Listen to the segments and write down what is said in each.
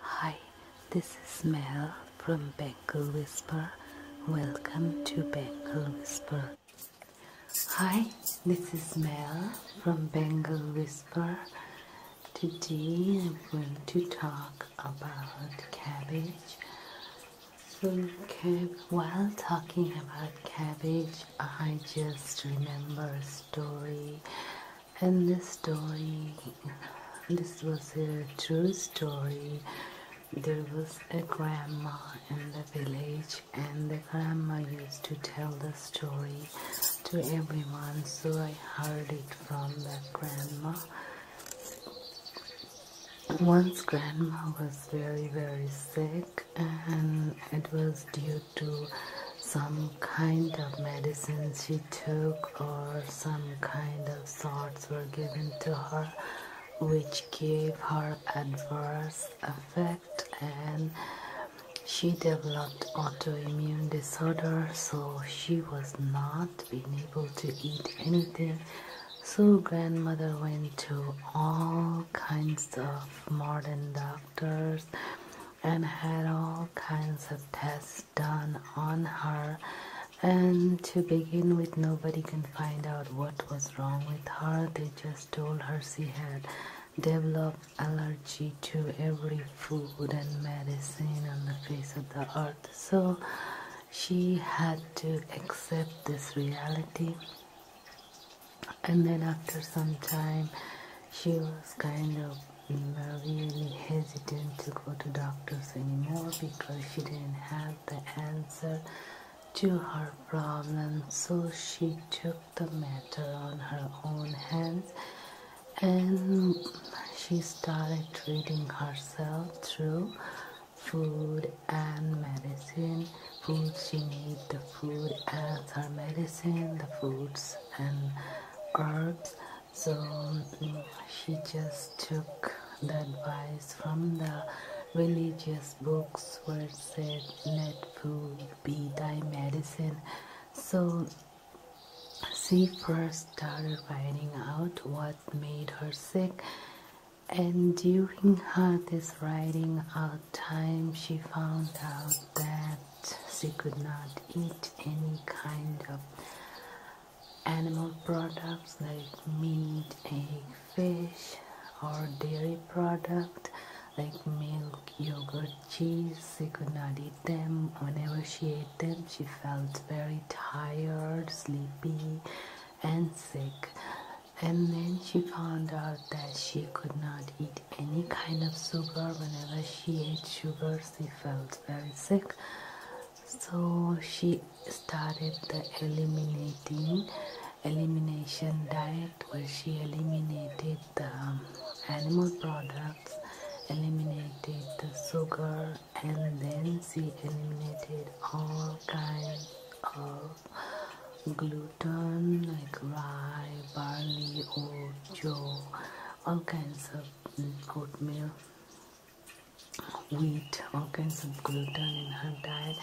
Hi, this is Mel from Bengal Whisper. Welcome to Bengal Whisper. Hi, this is Mel from Bengal Whisper. Today I'm going to talk about cabbage. So while talking about cabbage, I just remember a story in this story this was a true story there was a grandma in the village and the grandma used to tell the story to everyone so i heard it from the grandma once grandma was very very sick and it was due to some kind of medicine she took or some kind of salts were given to her which gave her adverse effect and she developed autoimmune disorder so she was not being able to eat anything so grandmother went to all kinds of modern doctors and had all kinds of tests done on her and to begin with nobody can find out what was wrong with her they just told her she had developed allergy to every food and medicine on the face of the earth so she had to accept this reality and then after some time she was kind of and were really hesitant to go to doctors anymore because she didn't have the answer to her problem so she took the matter on her own hands and she started treating herself through food and medicine food she made the food as her medicine the foods and herbs so mm, she just took the advice from the religious books where it said let food be thy medicine so she first started finding out what made her sick and during her this writing out time she found out that she could not eat any kind of animal products like meat, egg, fish, or dairy product like milk, yogurt, cheese. She could not eat them. Whenever she ate them, she felt very tired, sleepy, and sick. And then she found out that she could not eat any kind of sugar. Whenever she ate sugar, she felt very sick. So she started the eliminating elimination diet where she eliminated the um, animal products, eliminated the sugar, and then she eliminated all kinds of gluten like rice barley, or joe, all kinds of good mm, meal, wheat, all kinds of gluten in her diet.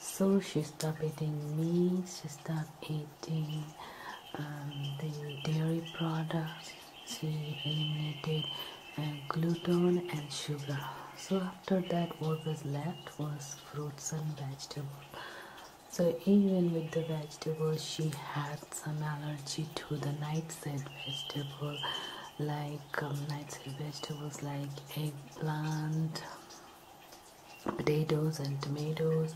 So she stopped eating meat, she stopped eating um, the dairy products, she eliminated uh, gluten and sugar. So after that what was left was fruits and vegetables so even with the vegetables, she had some allergy to the nightshade vegetable, like um, nightshade vegetables like eggplant, potatoes, and tomatoes.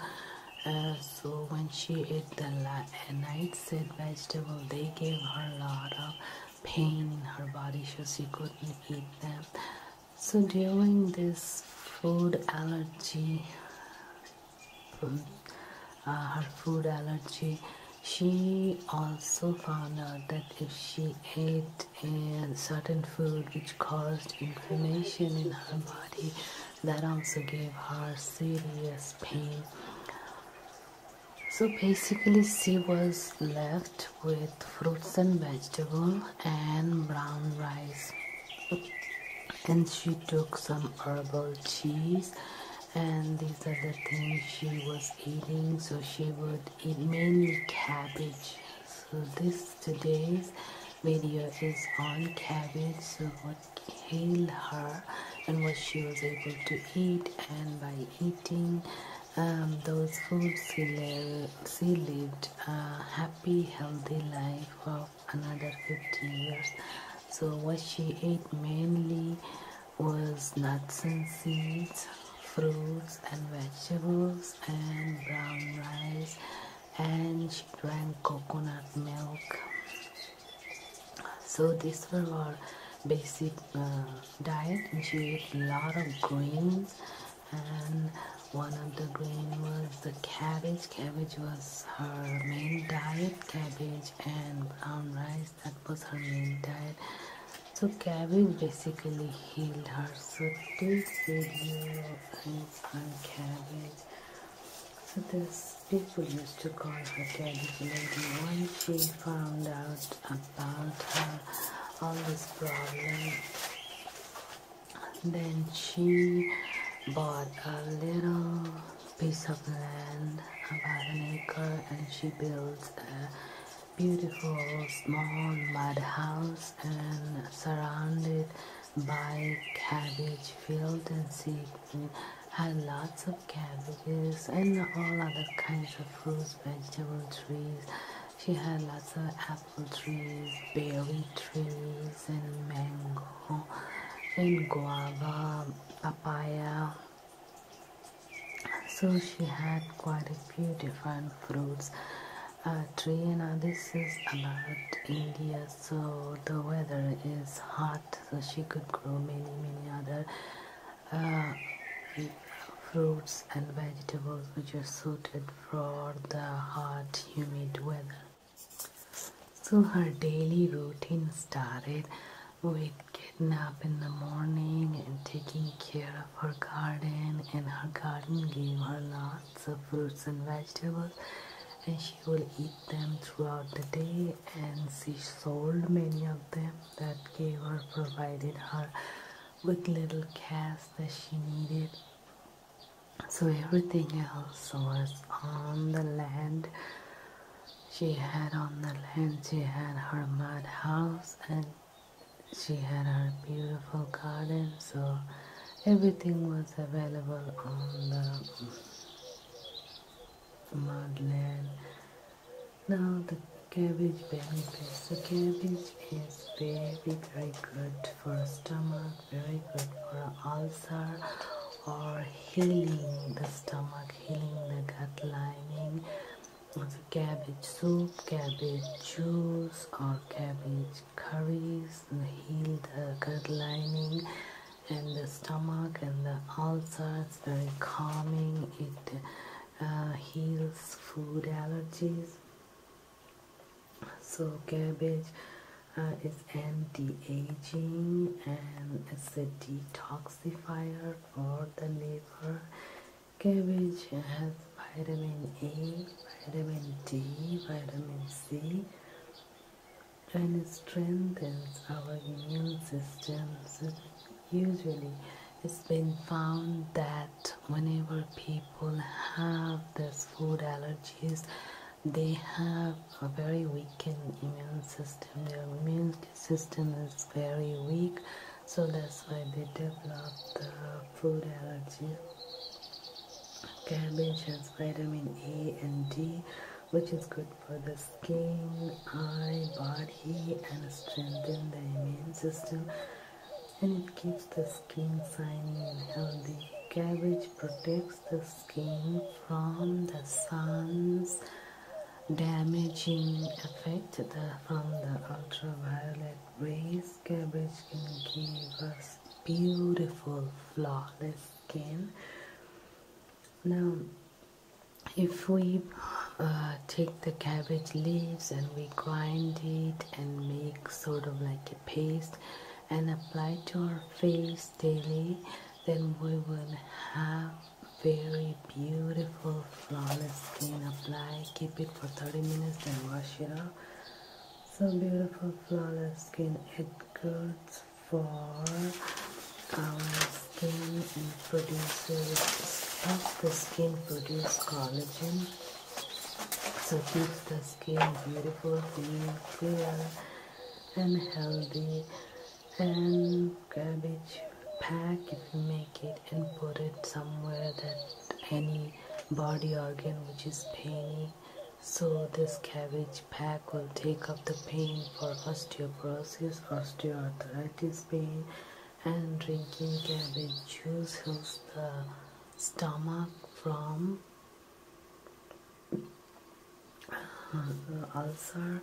Uh, so when she ate the uh, nightshade vegetable, they gave her a lot of pain in her body, so she couldn't eat them. So during this food allergy, hmm, uh, her food allergy, she also found out that if she ate a certain food which caused inflammation in her body, that also gave her serious pain. So basically, she was left with fruits and vegetables and brown rice and she took some herbal cheese and these are the things she was eating so she would eat mainly cabbage so this today's video is on cabbage so what healed her and what she was able to eat and by eating um, those foods she lived a happy, healthy life of another 50 years. So, what she ate mainly was nuts and seeds, fruits and vegetables, and brown rice, and she drank coconut milk. So, these were our basic uh, diet, and she ate a lot of greens and one of the green was the cabbage. Cabbage was her main diet, cabbage and brown rice, that was her main diet. So cabbage basically healed her. So this video is on cabbage. So this people used to call her cabbage lady. Once she found out about her all this problem then she bought a little piece of land about an acre and she built a beautiful small mud house and surrounded by cabbage field and she had lots of cabbages and all other kinds of fruits, vegetable trees. She had lots of apples trees, berry trees, and mango, and guava, papaya. So she had quite a few different fruits tree. and this is about India, so the weather is hot, so she could grow many many other uh, fruits and vegetables which are suited for the hot, humid weather. So her daily routine started with getting up in the morning and taking care of her garden and her garden gave her lots of fruits and vegetables and she would eat them throughout the day and she sold many of them that gave her provided her with little cash that she needed so everything else was on the land she had on the land she had her mud house and she had her beautiful garden so everything was available on the mud land now the cabbage benefits the cabbage it is very very good for stomach, very good for ulcer or healing the stomach, healing the gut lining. Also cabbage soup, cabbage juice or cabbage curries it heals the gut lining and the stomach and the ulcer. It's very calming. It uh, heals food allergies so cabbage uh, is anti-aging and it's a detoxifier for the liver cabbage has vitamin a vitamin d vitamin c and strengthens our immune systems usually it's been found that whenever people have this food allergies they have a very weakened immune system their immune system is very weak so that's why they develop the food allergy cabbage has vitamin a and d which is good for the skin eye body and strengthen the immune system and it keeps the skin shiny and healthy. Cabbage protects the skin from the sun's damaging effect the, from the ultraviolet rays. Cabbage can give us beautiful, flawless skin. Now, if we uh, take the cabbage leaves and we grind it and make sort of like a paste and apply to our face daily then we will have very beautiful flawless skin apply keep it for 30 minutes then wash it off so beautiful flawless skin it goes for our skin and produces helps the skin produce collagen so keep the skin beautiful, clean, clear and healthy and cabbage pack if you make it and put it somewhere that any body organ which is painy. so this cabbage pack will take up the pain for osteoporosis osteoarthritis pain and drinking cabbage juice helps the stomach from uh, ulcer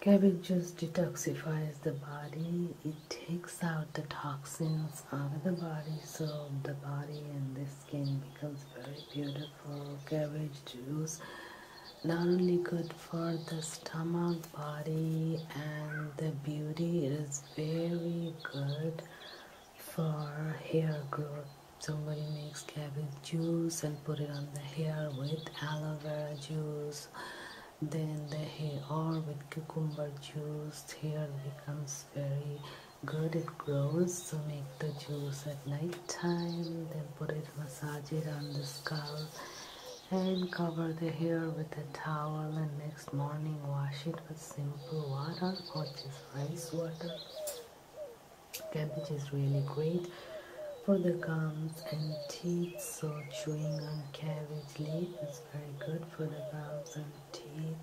cabbage juice detoxifies the body it takes out the toxins out of the body so the body and the skin becomes very beautiful cabbage juice not only good for the stomach body and the beauty it is very good for hair growth somebody makes cabbage juice and put it on the hair with aloe vera juice then the hair or with cucumber juice hair becomes very good it grows so make the juice at night time then put it massage it on the scalp and cover the hair with a towel and next morning wash it with simple water or just rice water. Cabbage is really great for the gums and teeth so chewing on cabbage leaf is very good for the gums and teeth.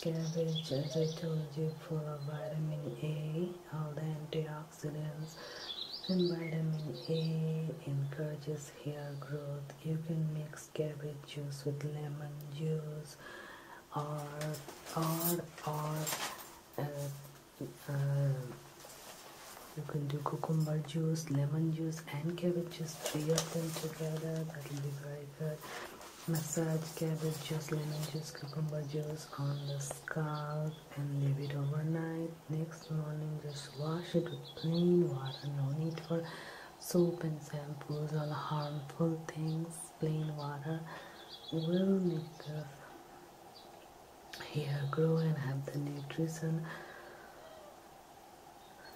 Cabbage as I told you full of vitamin A, all the antioxidants and vitamin A encourages hair growth you can mix cabbage juice with lemon juice or or or uh, uh, you can do cucumber juice lemon juice and cabbage juice three of them together that will be very massage cabbage juice lemon juice cucumber juice on the scalp and leave it overnight next morning just wash it with plain water no need for soap and shampoos all harmful things plain water will make the hair grow and have the nutrition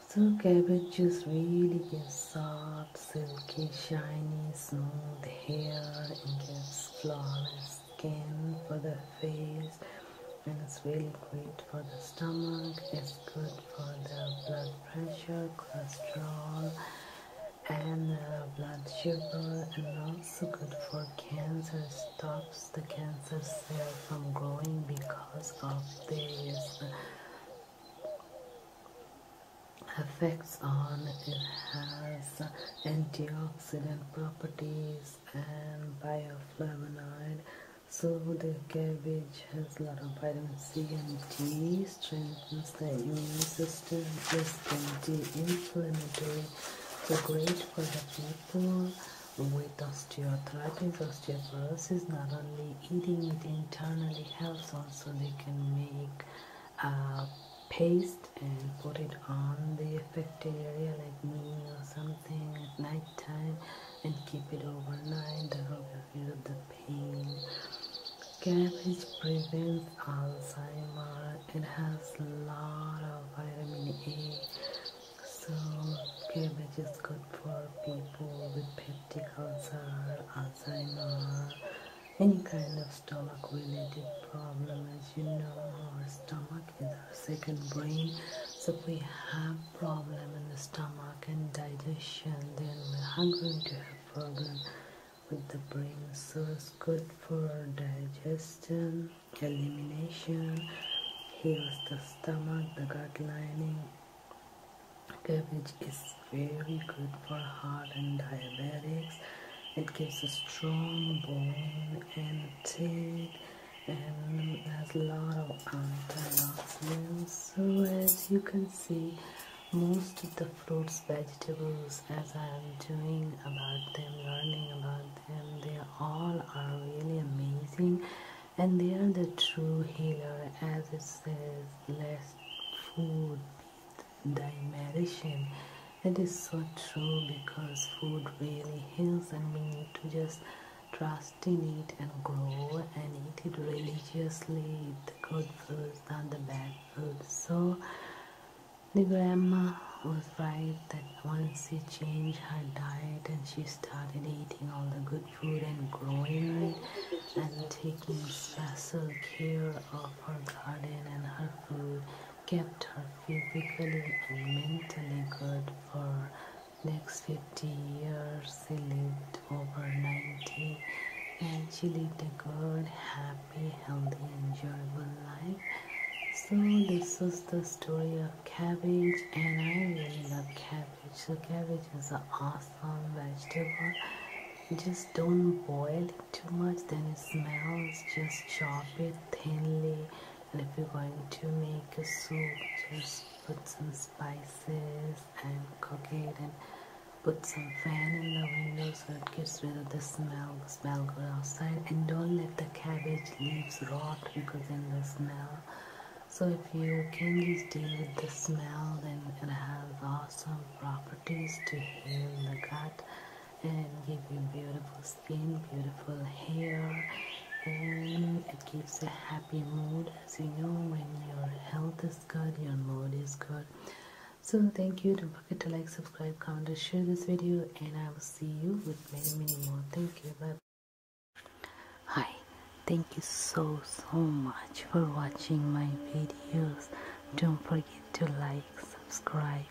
so cabbage juice really gives soft silky shiny smooth hair and gives flawless skin, for the face, and it's really great for the stomach. It's good for the blood pressure, cholesterol, and the blood sugar, and also good for cancer. Stops the cancer cell from growing because of this effects on it has antioxidant properties and bioflavonoid so the cabbage has a lot of vitamin C and D strengthens the immune system is anti-inflammatory so great for the people with osteoarthritis, osteoporosis, not only eating it internally helps, also they can make a uh, paste and put it on the affected area like me or something at night time and keep it overnight. That will reduce the pain. Cabbage prevents Alzheimer. It has a lot of vitamin E, So cabbage is good for people with peptic ulcer, Alzheimer, any kind of stomach related problem as you know our stomach in our second brain so if we have problem in the stomach and digestion then we are going to have problem with the brain so it's good for digestion elimination heals the stomach the gut lining cabbage is very good for heart and diabetics it gives a strong bone and teeth and there's a lot of antioxidants so as you can see most of the fruits vegetables as I am doing about them learning about them they all are really amazing and they are the true healer as it says less food thy medicine it is so true because food really heals and we need to just trust in it and grow and eat it religiously, the good food, not the bad food. So the grandma was right that once she changed her diet and she started eating all the good food and growing it and taking special care of her garden and her food kept her physically and mentally good for next 50 years she lived over 90 and she lived a good happy healthy enjoyable life so this is the story of cabbage and i really love cabbage so cabbage is an awesome vegetable just don't boil it too much then it smells just chop it thinly and if you're going to make a soup just put some spices and cook it and put some fan in the window so it gets rid of the smell the smell goes outside and don't let the cabbage leaves rot because then the smell so if you can just deal with the smell then it has awesome properties to heal the gut and give you beautiful skin, beautiful hair, and it gives a happy mood. As you know, when your health is good, your mood is good. So thank you. Don't forget to like, subscribe, comment, and share this video. And I will see you with many, many more. Thank you. -bye. Hi. Thank you so, so much for watching my videos. Don't forget to like, subscribe.